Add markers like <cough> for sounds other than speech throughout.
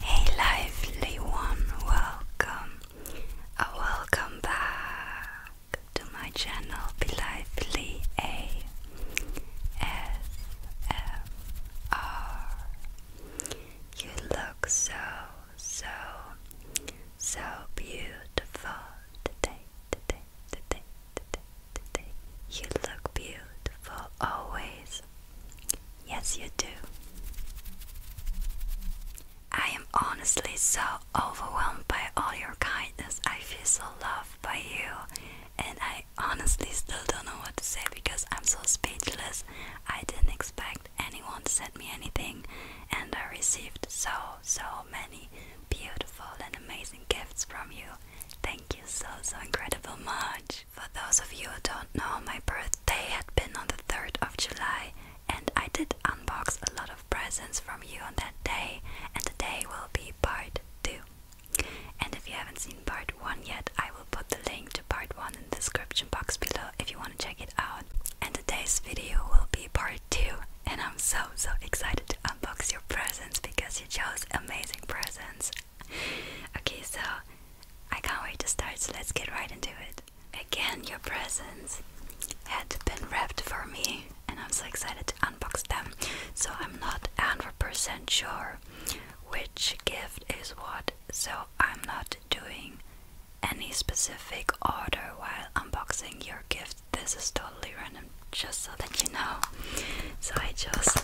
Hey, lively one, welcome. Uh, welcome back to my channel, Be Lively A S M R. You look so, so, so beautiful today, today, you look beautiful always. Yes, you do. I am honestly so overwhelmed by all your kindness. I feel so loved by you, and I honestly still don't know what to say because I'm so speechless. I didn't expect anyone to send me anything, and I received so, so many beautiful and amazing gifts from you. Thank you so, so incredible much. For those of you who don't know, my birthday had been on the 3rd of July, and I did unbox a lot of presents from you on that day, and today will be part 2. And if you haven't seen part 1 yet, I will put the link to part 1 in the description box below if you want to check it out. And today's video will be part 2, and I'm so, so excited unbox your presents because you chose amazing presents. Okay, so I can't wait to start, so let's get right into it. Again, your presents had been wrapped for me, and I'm so excited to unbox them. So I'm not 100% sure which gift is what, so I'm not doing any specific order while unboxing your gifts this is totally random, just so that you know. So I chose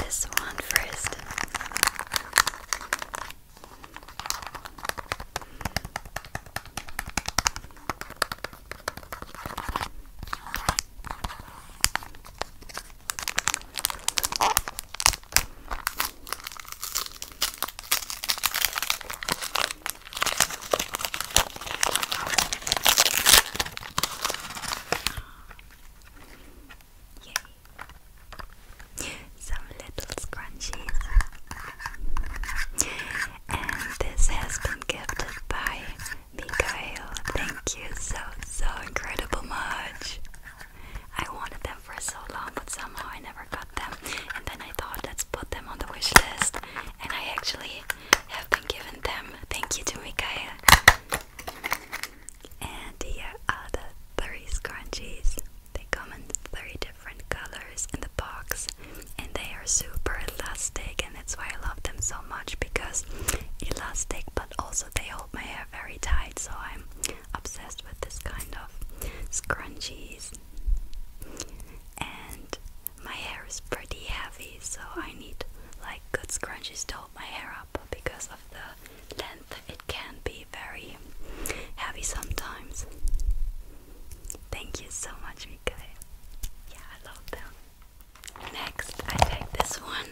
this one first. Some little scrunchies. And this has been gifted by Mikhail. Thank you so, so incredible much. I wanted them for so long, but somehow I never got them. And then I thought, let's put them on the wish list. And I actually have been given them. Thank you to Micaiah. And here are the three scrunchies. They come in three different colors in the box, and they are super elastic, and that's why I love them so much because elastic, but also they hold my hair very tight. So I'm obsessed with this kind of scrunchies. And my hair is pretty heavy, so I need like good scrunchies to hold my hair up because of the length, it can be very heavy sometimes. Thank you so much, Mikael. Yeah, I love them. Next, I take this one.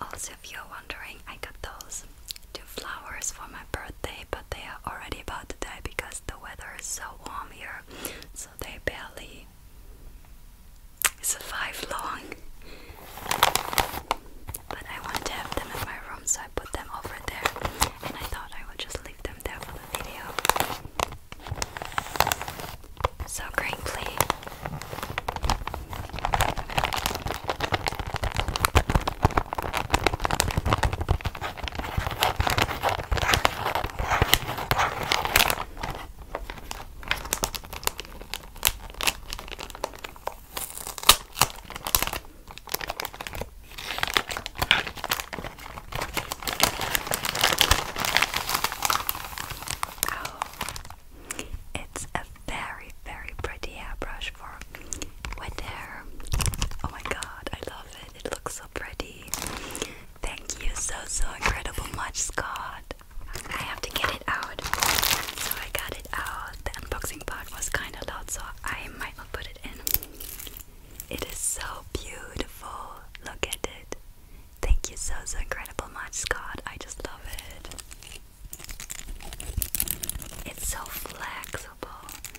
Also, if you're wondering, I got those two flowers for my birthday, but they are already about to die because the weather is so warm here, so they barely survive long. But I wanted to have them in my room, so I put them over there, and I thought I would just leave them there for the video. So crinkly. Oh, it's a very, very pretty hairbrush search for Oh my god, I love it. It looks so pretty. Thank you so, so incredible much, Scott. I have to get it out. So I got it out. The unboxing part was kind of loud, so I might not put it in. It is so beautiful. Look at it. Thank you so, so incredible much, Scott. I just love it. It's so flexible.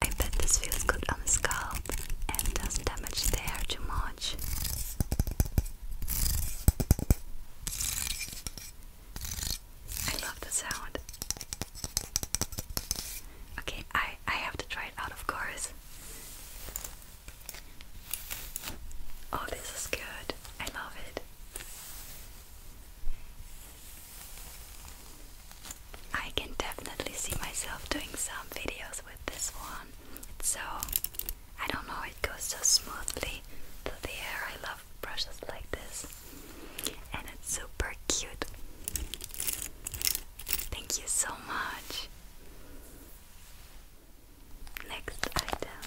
I bet this feels good on the scalp and doesn't damage the hair too much. I love the sound. Okay, I, I have to try it out, of course. Oh, this is good. I love it. I can definitely see myself doing some videos with this one. so, I don't know, it goes so smoothly through the air. I love brushes like this. And it's super cute. Thank you so much. Next item.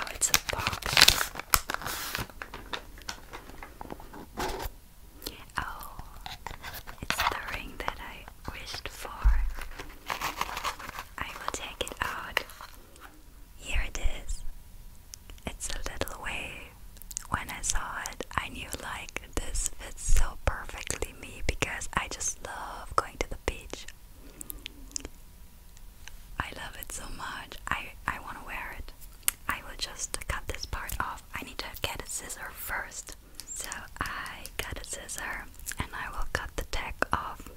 Oh, it's a box. Oh, it's the ring that I wished for. I will take it out. Here it is. It's a little wave. When I saw it, I knew like this fits so perfectly me because I just love going to the beach. I love it so much. I I want to wear it. I will just cut this part off. I need to get a scissor first. So I got a scissor and I will cut the tag off.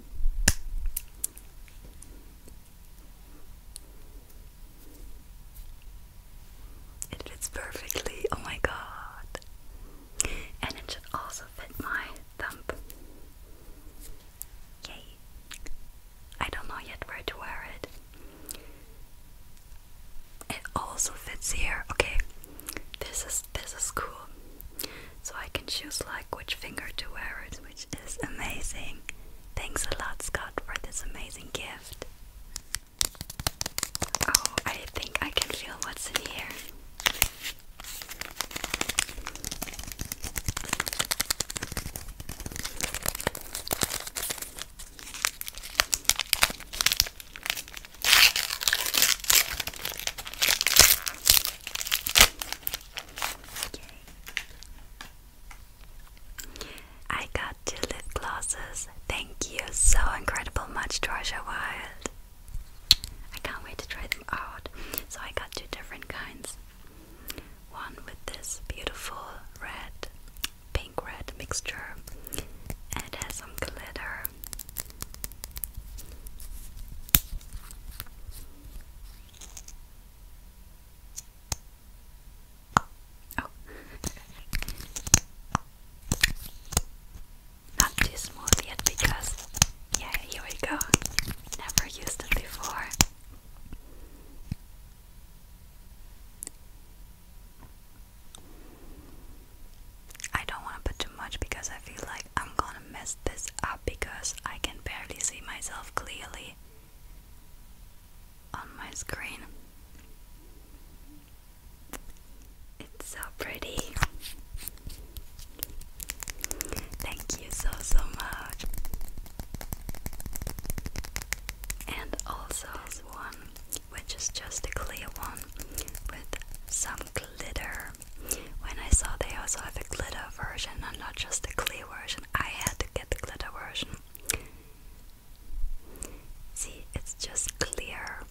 It fits perfectly, oh my god. And it should also fit my thumb. Yay. I don't know yet where to wear it. It also fits here. Okay, this is this is cool. So I can choose like which finger to wear it, which is amazing. Thanks a lot, Scott, for this amazing gift. Oh, I think I can feel what's in here. I got two lip glosses. Thank you so incredible much, Georgia Wild. I can't wait to try them out. So I got two different kinds. One with this beautiful red, pink red mixture, and it has some glitter. Oh. <laughs> Not too smooth yet because, yeah, here we go. Never used it before. I don't want to put too much because I feel like I'm gonna mess this up because I can barely see myself clearly on my screen. It's so pretty. Thank you so so much. And also one which is just a clear one with some glitter. When I saw they also have a glitter version and not just a clear version, I had to get the glitter version. See, it's just clear,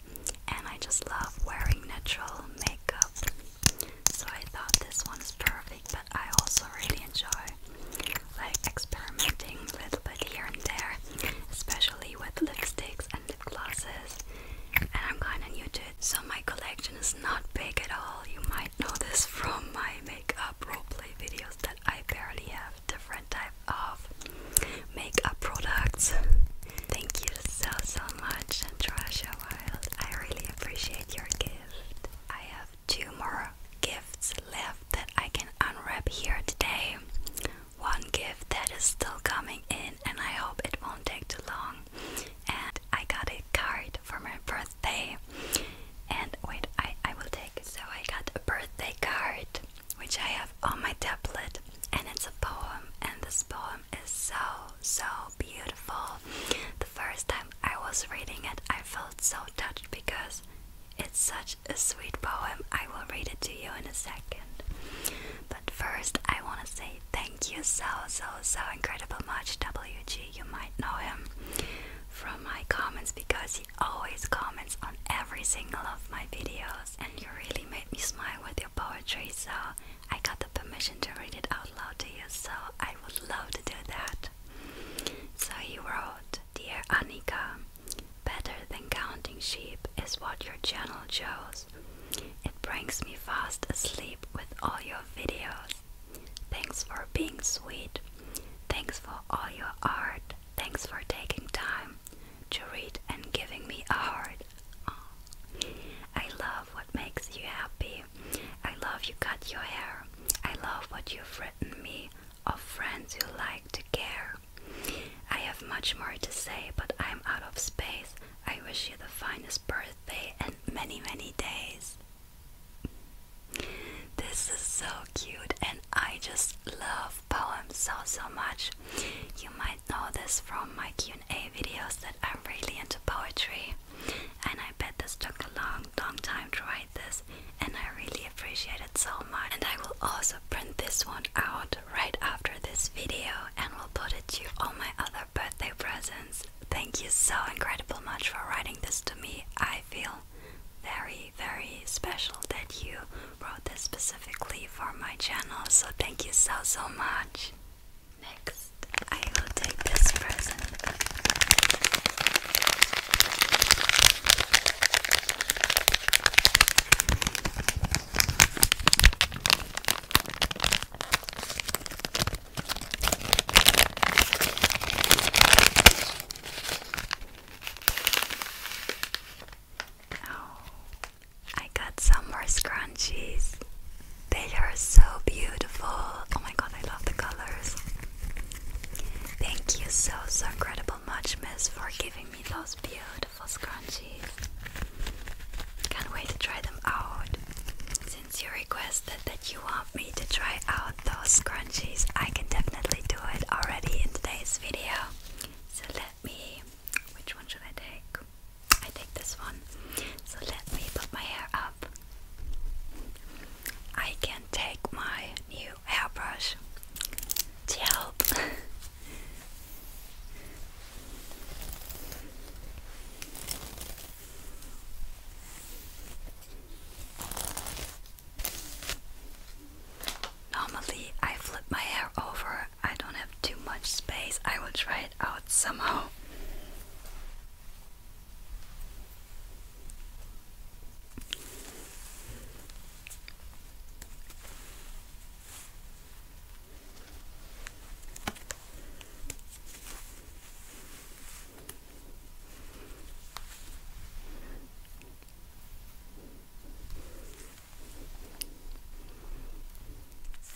and I just love wearing natural makeup. So I thought this one is perfect but I also really enjoy like experimenting a little bit here and there, especially with lipsticks and lip glosses. And I'm kind of new to it, so my collection is not big at all. You might know this from my makeup roleplay videos that I barely have different type of makeup products. Thank you so so much, Trisha Wild. I really appreciate your gift. I have two more gifts left that I can unwrap here today. One gift that is still coming in, and I hope it won't take too long. And I got a card for my birthday. And wait, I, I will take it. So I got a birthday card, which I have on my tablet, and it's a poem. And this poem is so, so beautiful. The first time I was reading it, I felt so touched because it's such a sweet poem. I will read it to you in a second. But first, I want to say thank you so, so, so incredible much, WG. You might know him from my comments because he always comments on every single of my videos, and you really made me smile with your poetry. So I got the permission to read it out loud to you. So I would love to do that. So he wrote, Dear Anika, better than counting sheep is what your channel shows. It brings me fast asleep with all your videos. Thanks for being sweet. Thanks for all your art. Thanks for taking time to read and giving me a heart. I love what makes you happy. I love you cut your hair. I love what you've written me of friends you like to care. I have much more to say, but I'm out of space. I wish you the finest birthday and many, many days. This is so cute, and I just love poems so, so much. You might know this from my Q&A videos that I'm really into poetry, and I bet this took a long long, time to write this, and I really appreciate it so much. And I will also print this one out right after this video and we will put it to all my other birthday presents. Thank you so incredible much for writing this to me. I feel very, very special that you wrote this specifically for my channel, so thank you so, so much. Next, I will take this present. Oh, I got some more scrunchies. They are so beautiful. Oh my god, I love the colors. Thank you so, so incredible much, Miss, for giving me those beautiful scrunchies. Can't wait to try them out. Since you requested that you want me to try out those scrunchies, I can definitely do it already in today's video. So let me. Which one should I take? I take this one. So let me put my hair up. I can take my new hairbrush to help. Normally, I flip my hair over, I don't have too much space. I will try it out somehow.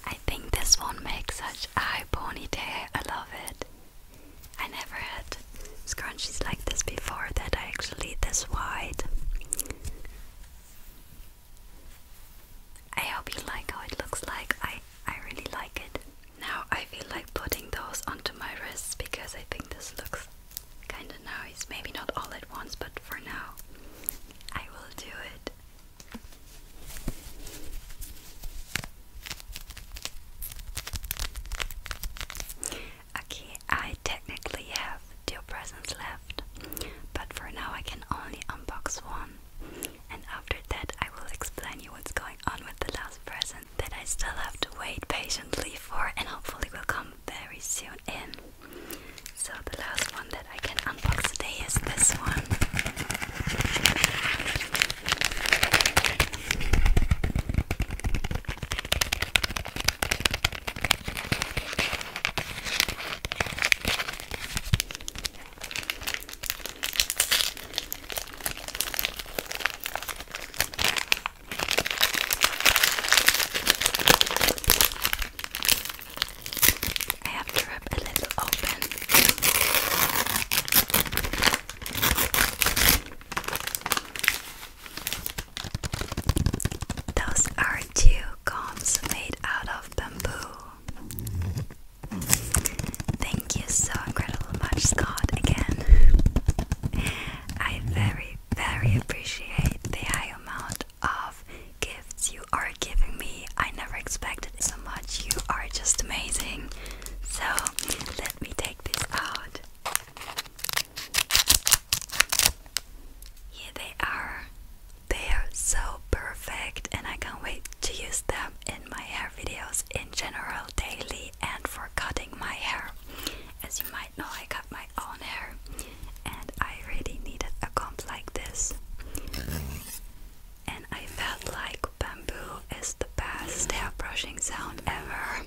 I think this one makes such a high ponytail. I love it. I never had scrunchies like this before that are actually this wide. I hope you like how it looks like. I I really like it. Now I feel like putting those onto my wrists because I think this looks kinda nice. Maybe not all at once, but for now I will do it. Okay, I technically have two presents left, but for now I can only unbox one. And after that, I will explain you what's going on with the last present that I still have to wait patiently for, and hopefully will come very soon in. So, the last one that I can unbox today is this one. I have to those are two combs made out of bamboo. Thank you so incredibly much, Scott, again. I very, very appreciate the high amount of gifts you are giving me. I never expected so much. You are just amazing. So let me take this out. Here they are. They are so perfect, and I can't wait to use them in my hair videos in general, daily, and for cutting my hair. As you might know, I cut my own hair, and I really needed a comb like this and I felt like bamboo is the best hair brushing sound ever.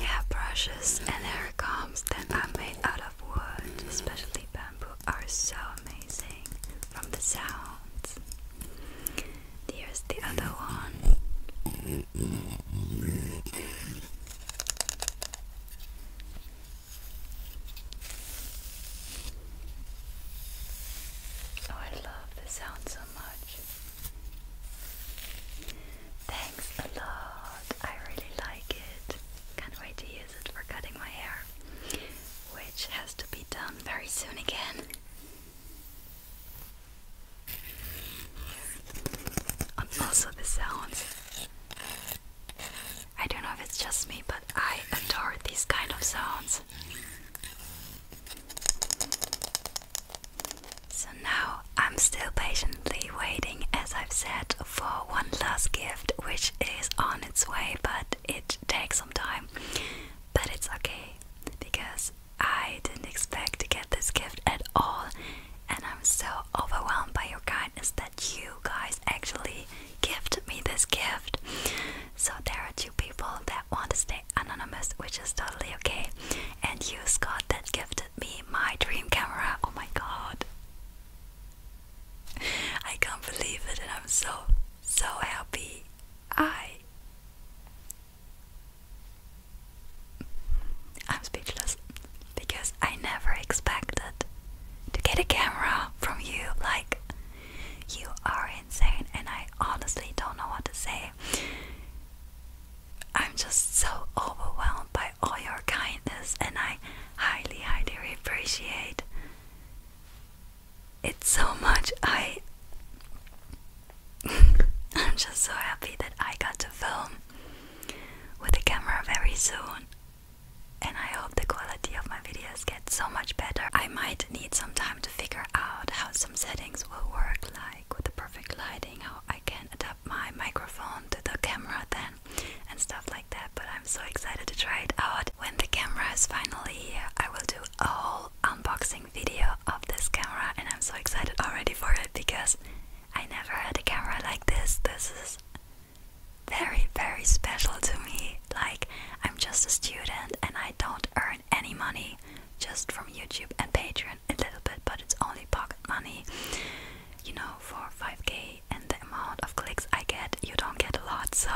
Hair brushes and hair combs that are made out of wood, especially bamboo, are so amazing from the sound. Here's the other one. Oh, I love the sound so much. Thanks a lot. I really like it. Can't wait to use it for cutting my hair, which has to be done very soon again. And also the sounds I don't know if it's just me, but I adore these kind of sounds. So now I'm still patiently waiting, as I've said, for one last gift, which is on its way, but it takes some time. But it's okay because I didn't expect to get this gift at all, and I'm so overwhelmed by your kindness that you guys actually gifted me this gift. So there are two people that want to stay anonymous, which is totally okay. And you, Scott, that gifted me my dream camera. Oh my god. I can't believe it and I'm so so happy. I I'm speechless because I never expected to get a camera from you like you are insane, and I honestly don't know what to say. I'm just so overwhelmed by all your kindness, and I highly, highly appreciate it so much. I. <laughs> I'm just so happy that I got to film with the camera very soon. And I hope the quality of my videos get so much better. I might need some time to figure out how some settings will work, like with the perfect lighting, how I can adapt my microphone to the camera then, and stuff like that. But I'm so excited to try it out. When the camera is finally here, I will do a whole unboxing video of this camera, and I'm so excited already for it because I never had a camera like this. This is very, very special to me. Like, I'm just a student and I don't earn any money just from YouTube and Patreon a little bit, but it's only pocket money. You know, for 5k and the amount of clicks I get, you don't get a lot. So,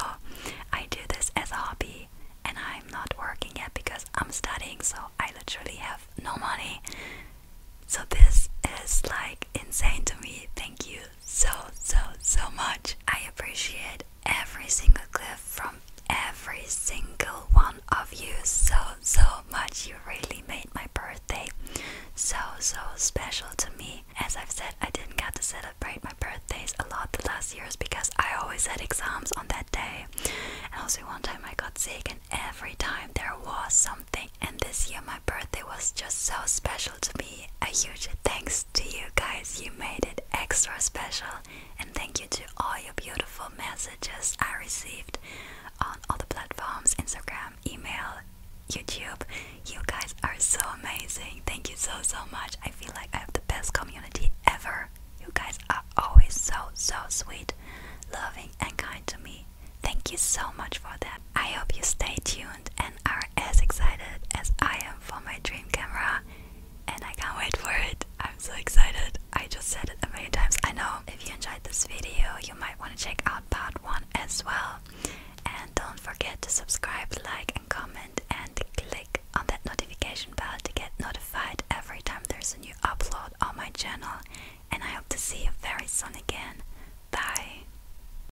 I do this as a hobby and I'm not working yet because I'm studying, so I literally have no money. So, this is like insane to me. Thank you so, so, so much. I appreciate every single clip from every single one of you so, so much. You really made my birthday so, so special to me. As I've said, I didn't get to celebrate my birthdays a lot the last years because I always had exams on that day. And also, one time I got sick, and every time there was something. And this year, my birthday was just so special to me. A huge thanks to you guys. You made it extra special. And thank you to all your beautiful messages I received on all the platforms Instagram, email, YouTube. You guys are so amazing. Thank you so, so much. I feel like I have the best community ever. You guys are always so, so sweet, loving, and kind to me. Thank you so much for that. I hope you stay tuned and are as excited as I am for my dream camera. And I can't wait for it. I'm so excited. I just said it a million times. I know if you enjoyed this video, you might want to check out part one as well. And don't forget to subscribe, like, and comment, and click on that notification bell to get notified every time there's a new upload on my channel. And I hope to see you very soon again. Bye.